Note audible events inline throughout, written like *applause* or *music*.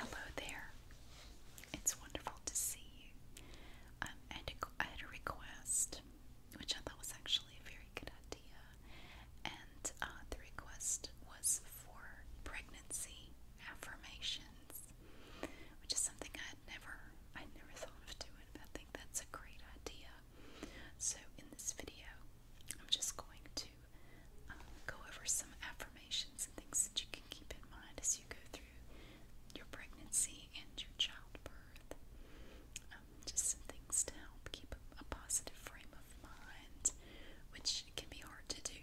Hello there. It's wonderful to see you. Um, I, had a request, which I thought was actually a very good idea, and uh, the request was for pregnancy affirmations, which is something I had never, I never thought of doing. I think that's a great idea. So in this video, I'm just going to um, go over some affirmations and things that you can keep in mind as you go through your pregnancy and your childbirth. Um, just some things to help keep a, positive frame of mind, which can be hard to do.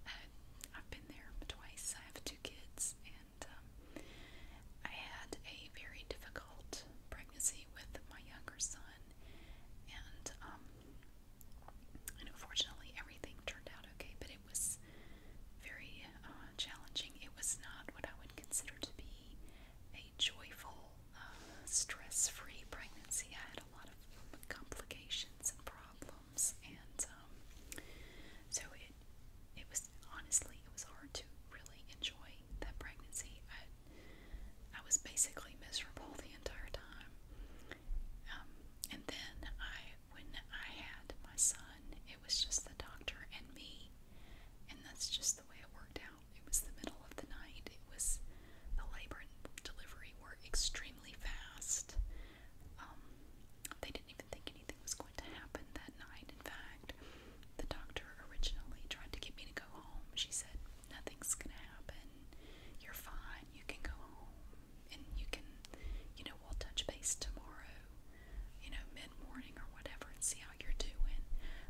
*laughs* I, have been there twice. I have two kids, and um, I had a very difficult pregnancy with my younger son, and and unfortunately, everything turned out okay, but it was very uh, challenging. It was not what I would consider to be a joyful, uh, stress free pregnancy. I had a lot of complications and problems, and um, so it, it was honestly, it was hard to really enjoy that pregnancy. I I was basically miserable the entire time. Um, and then I, when I had my son, it was just the doctor and me, and that's just the way it worked out. It was the middle of the night. It was the labor and delivery were extremely fast. Um, they didn't even think anything was going to happen that night. In fact, the doctor originally tried to get me to go home. She said, nothing's gonna happen. You're fine. You can go home, and you can, you know, we'll touch base tomorrow, you know, mid morning or whatever, and see how you're doing.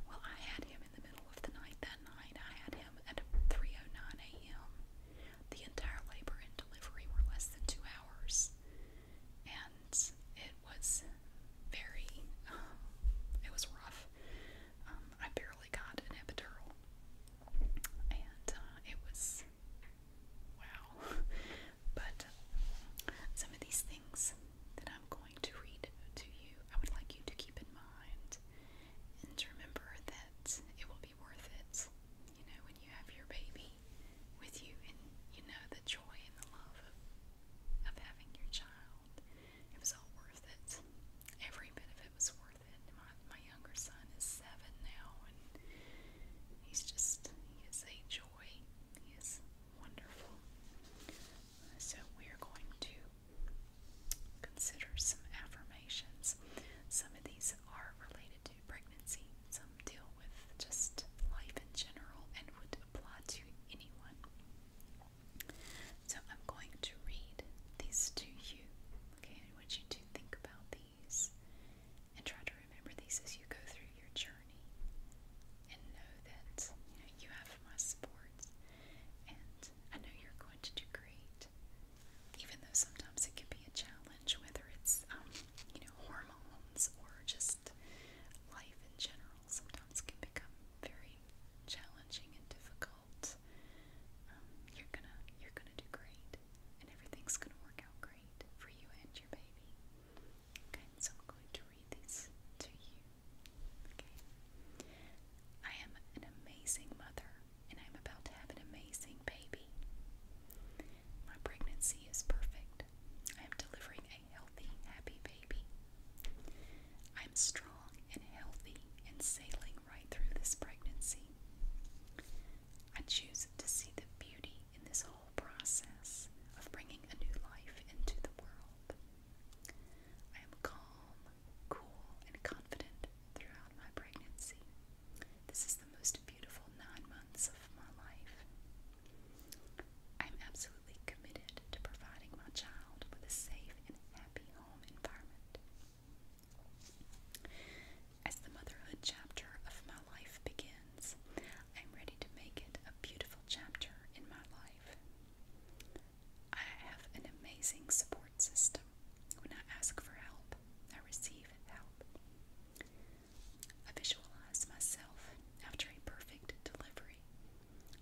Well, I had him in the middle of the night that night. I had him at 3:09 a.m. The entire labor and delivery were less than two hours, and it was very, um, *sighs* it was rough. Um, I barely got an epidural, and uh, it was wow. *laughs* but uh, some of these things that I'm going to read to you, I would like you to keep in mind and to remember that it will be worth it. You know, when you have your baby with you, and you know the joy and the love of, of having your child it was all worth it. Every bit of it was worth it. My my younger son is seven now, and he's just he is a joy. He is wonderful. So we are going to consider some affirmations. Some of these are related to pregnancy. Some deal with just life in general and would apply to anyone. So I'm going to read these to you. Okay, I want you to think about these and try to remember these as you go through your journey. And know that you know you have my support, and I know you're going to do great. Even though sometimes it can be a challenge, whether it's um, you know hormones or just life in general sometimes can become very challenging and difficult. Um, you're gonna you're gonna do great, and everything's gonna work out great for you and your baby. Okay, so I'm going to read these to you. Okay, I am an amazing mother, and I'm about to have an amazing baby. My pregnancy is perfect. I am delivering a healthy, happy baby. I'm strong and healthy and sailing right through this pregnancy. I choose to see the beauty in this whole process of bringing a new life into the world. I am calm, cool, and confident throughout my pregnancy. This is the most beautiful nine months of my life. I'm absolutely committed to providing my child with a safe and happy home environment. As the motherhood chapter of my life begins, I'm ready to make it a beautiful chapter in my life. I have an amazing support system. When I ask for help, I receive help. I visualize myself after a perfect delivery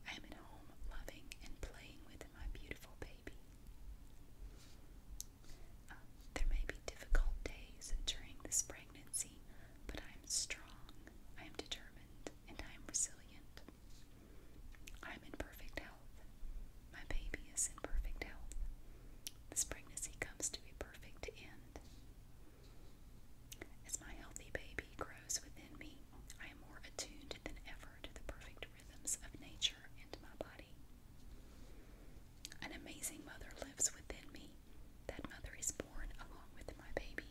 I am at home loving and playing with my beautiful baby. Uh, there may be difficult days during this pregnancy, but I am strong, I am determined, and I am resilient. I am in perfect health. My baby is in perfect health. This pregnancy comes to a perfect end. As my healthy baby grows within me, I am more attuned than ever to the perfect rhythms of nature and my body. An amazing mother lives within me. That mother is born along with my baby,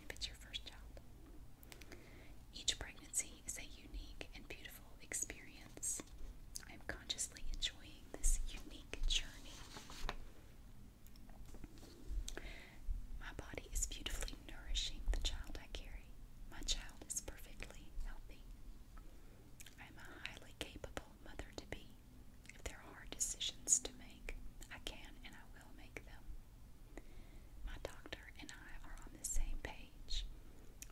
if it's your first child. Each pregnancy is a unique and beautiful experience. I am consciously enjoying this unique journey. My body is beautifully nourishing the child I carry. My child is perfectly healthy. I am a highly capable mother to be. If there are hard decisions to make, I can and I will make them. My doctor and I are on the same page.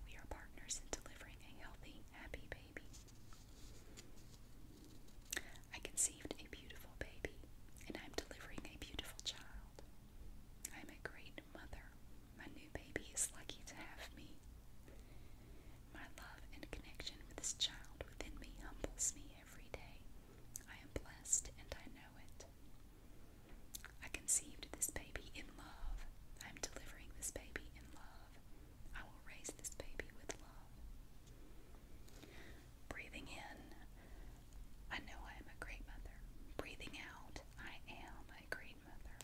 We are partners in delivering a healthy, happy baby. I conceived a beautiful baby, and I am delivering a beautiful child. I am a great mother. My new baby is lucky to have me. My love and connection with this child within me humbles me every day. I am blessed and I know it. I conceived this baby in love. I am delivering this baby in love. I will raise this baby with love. Breathing in, I know I am a great mother. Breathing out, I am a great mother.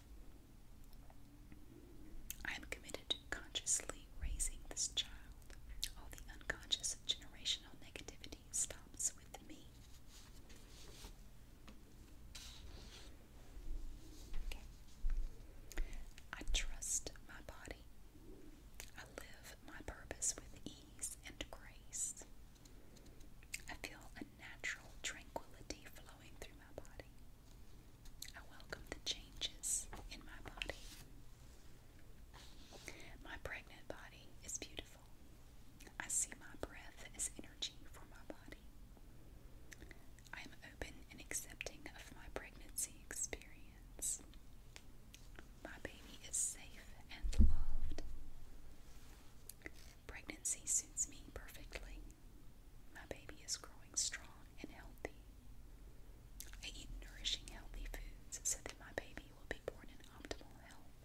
I am committed to consciously raising this child. All the unconscious generational negativity stops with me. Okay. I trust my body I live my purpose with ease and grace. I feel a natural tranquility flowing through my body. I welcome the changes in my body. My pregnant body is beautiful. I see my breath as energy for my body. I am open and accepting of my pregnancy experience. My baby is safe and loved. Pregnancy suits me perfectly. My baby is growing strong and healthy. I eat nourishing, healthy foods so that my baby will be born in optimal health.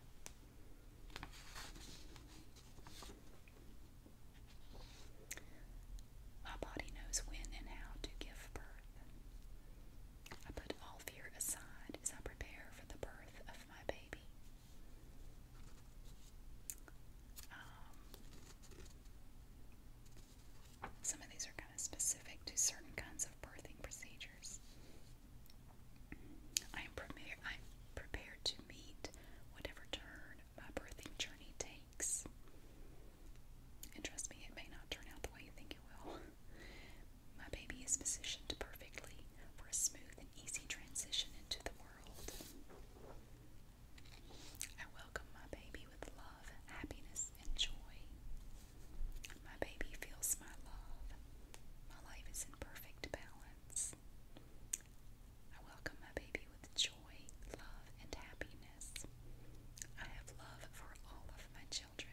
My body knows when and how to give birth. I put all fear aside as I prepare for the birth of my baby. Um, some of these are kind of specific to certain kinds of birthing procedures. I am prepared, I'm prepared to meet whatever turn my birthing journey takes. And trust me, it may not turn out the way you think it will. My baby is positioned perfectly for a smooth and easy transition into the world. I welcome my baby with love, happiness, and joy. My baby feels my love. My life is in perfect balance. I welcome my baby with joy, joy, love, and happiness. I have love for all of my children.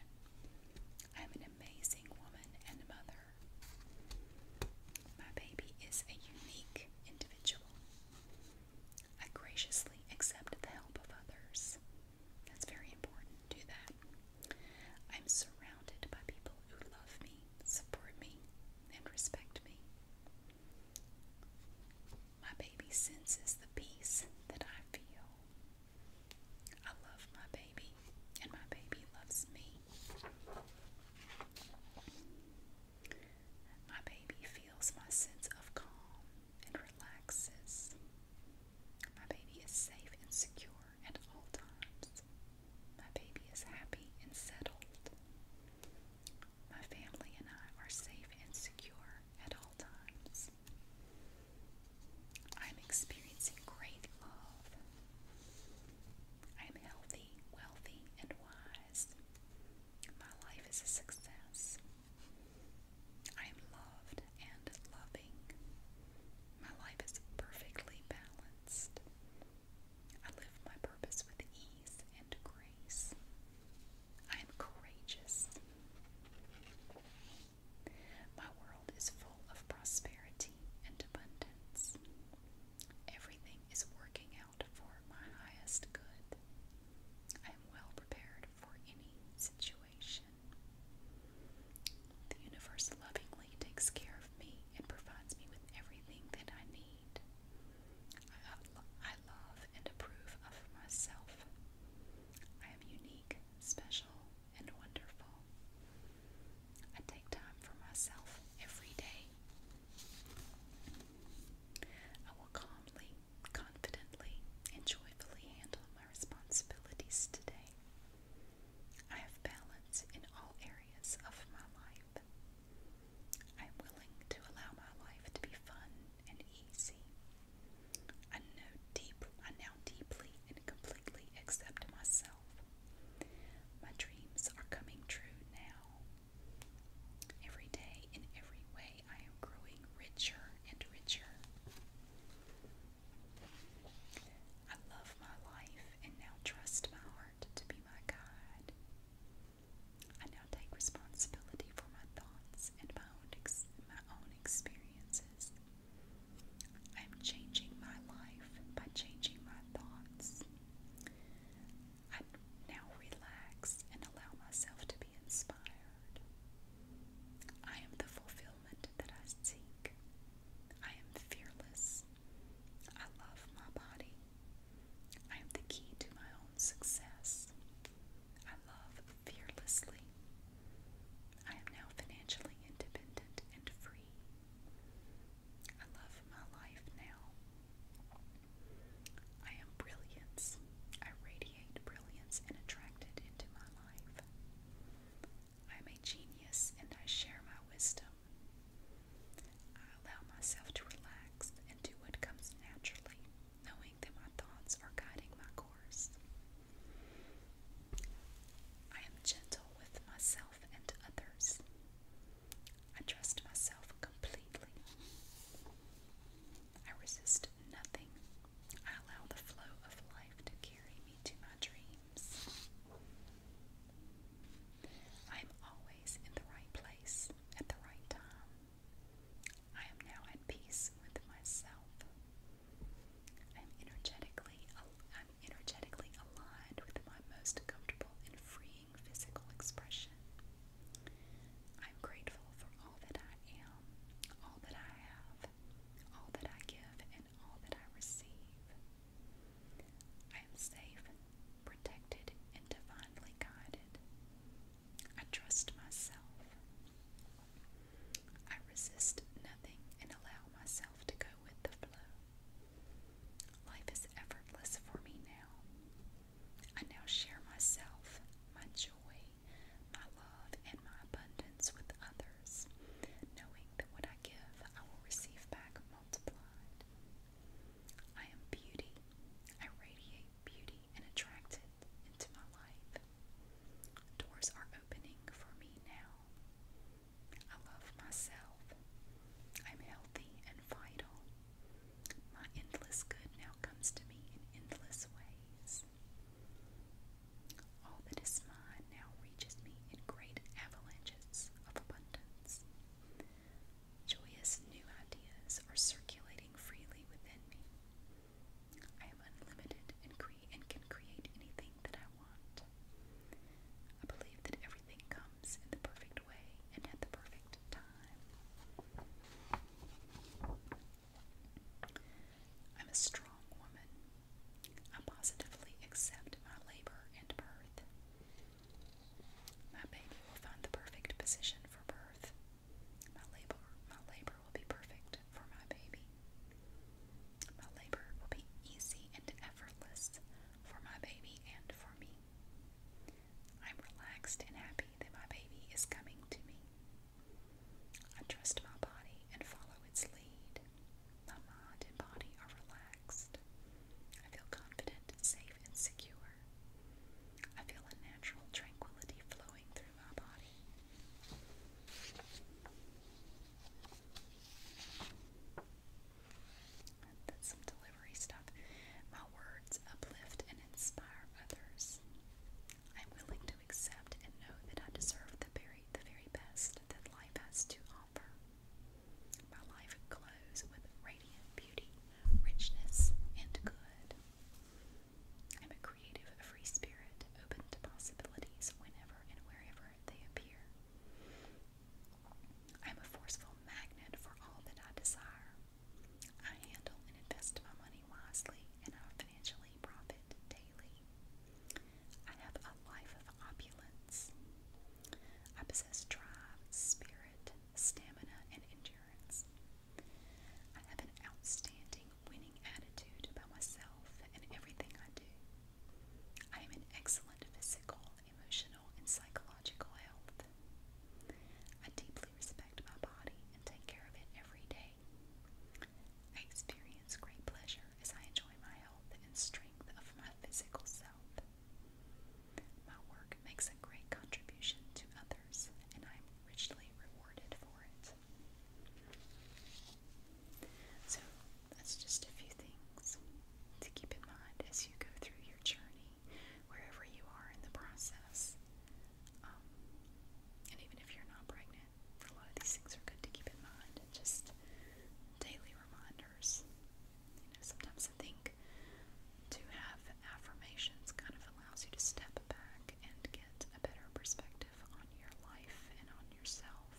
I am an amazing woman and mother. My baby is a unique individual. I graciously accept the help of others. That's very important. Do that. I'm surrounded by people who love me, support me, and respect me. My baby senses the peace that I feel. I love my baby, and my baby loves me. My baby feels my sense of calm and relaxes. My baby is safe and secure at all times. My baby is happy and settled. My family and I are safe and secure at all times. I am experiencing great love. I am healthy, wealthy, and wise. My life is a success. I am loved and loving. My life is perfectly balanced. I live my purpose with ease and grace. I am courageous. My world is full of prosperity and abundance. Everything is working out for my highest good. I am well prepared for any situation. The universe lovingly takes care of me and provides me with everything that I need. I, love and approve of myself. I am unique, special, and wonderful. I take time for myself every day. I will calmly, confidently, and joyfully handle my responsibilities today. I have balance in all areas of my life. I'm willing to allow my life to be fun and easy. I know deep I now deeply and completely accept myself. My dreams are coming true now. Every day in every way I am growing richer and richer. I love my life and now trust my heart to be my guide. I now take responsibility for my thoughts and my own, my own experiences. I am changing my life by changing my thoughts. I now relax and allow myself to be inspired. I am the fulfillment that I seek. I am fearless I love my body. I am the key to my own success. I love fearlessly. I am now financially independent and free. I love my life now. I am brilliance. I radiate brilliance and attract it into my life. I am a genius and I share my wisdom. I allow myself to relax and do what comes naturally, knowing that my thoughts are guiding my course. I am gentle with myself and others. I trust myself completely. I resist nothing. I allow the flow of life to carry me to my dreams. I am always in the right place at the right time. I am now at peace with myself. I am energetically I'm energetically aligned with my most comfortable and freeing physical expression. I'm grateful for all that I am, all that I have, all that I give, and all that I receive. I am safe, protected, and divinely guided. I trust myself. I resist nothing and allow myself to go with the flow. Life is effortless for me now. I now share myself, my joy, my love, and my abundance with others, knowing that when I give I will receive back I am beauty. I radiate beauty and attract it into my life. Doors are opening for me now. I love myself. I'm healthy and vital. My endless good now comes to me in endless ways. All that is mine now reaches me in great avalanches of abundance. Joyous new ideas are circulating freely within me. I am unlimited and, can create anything that I want. I believe that everything comes in the perfect way and at the perfect time. I'm a strong woman I positively accept my labor and birth. My baby will find the perfect position for birth. My labor, my labor will be perfect for my baby. My labor will be easy and effortless for my baby and for me. I'm relaxed and happy that my baby is coming to me. I trust my body and follow its lead. My mind and body are relaxed. I feel confident, safe, and secure. I feel a natural tranquility flowing through my body. That's some delivery stuff. My words uplift and inspire others. I'm willing to accept and know that I deserve the very, the very best that life has to offer. My life glows with radiant beauty, richness, and good. I'm a creative, free spirit, open to possibilities whenever and wherever they appear. I'm a forceful magnet for all that I desire. I handle and invest my money wisely, and I financially profit daily. I have a life of opulence. I possess drive, spirit, stamina, and endurance. I have an outstanding winning attitude about myself and everything I do. I am in excellent physical, emotional, and psychological health. I deeply respect my body and take care of it every day. I experience great pleasure as I enjoy my health and strength of my physical self. My work makes a great contribution to others, and I am richly rewarded for it. So, that's just a few things to keep in mind as you go through your journey, wherever you are in the process. Um, and even if you're not pregnant, a lot of these things are good to keep in mind and just daily reminders. You know, sometimes I think to have affirmations kind of allows you to step back and get a better perspective on your life and on yourself.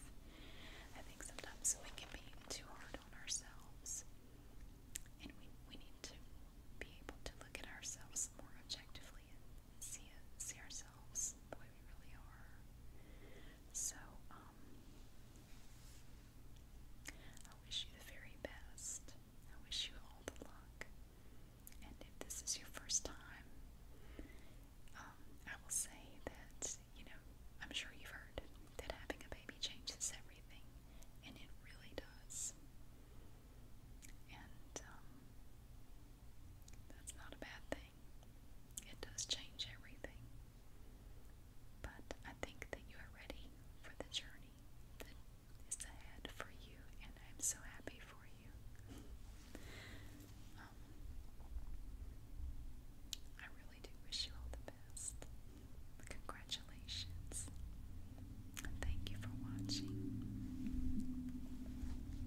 I think sometimes we can be too hard on ourselves. And we, we need to be able to look at ourselves more objectively and see it, see ourselves the way we really are. So, um, I wish you the very best. I wish you all the luck. And if this is your first time, um, I will say that, you know, I'm sure you've heard that having a baby changes everything, and it really does. And, um, that's not a bad thing. It does change everything. But I think that you are ready for the journey that is ahead for you, and I'm so happy for you. Um, I really do wish you all the best. Congratulations. thank you for watching.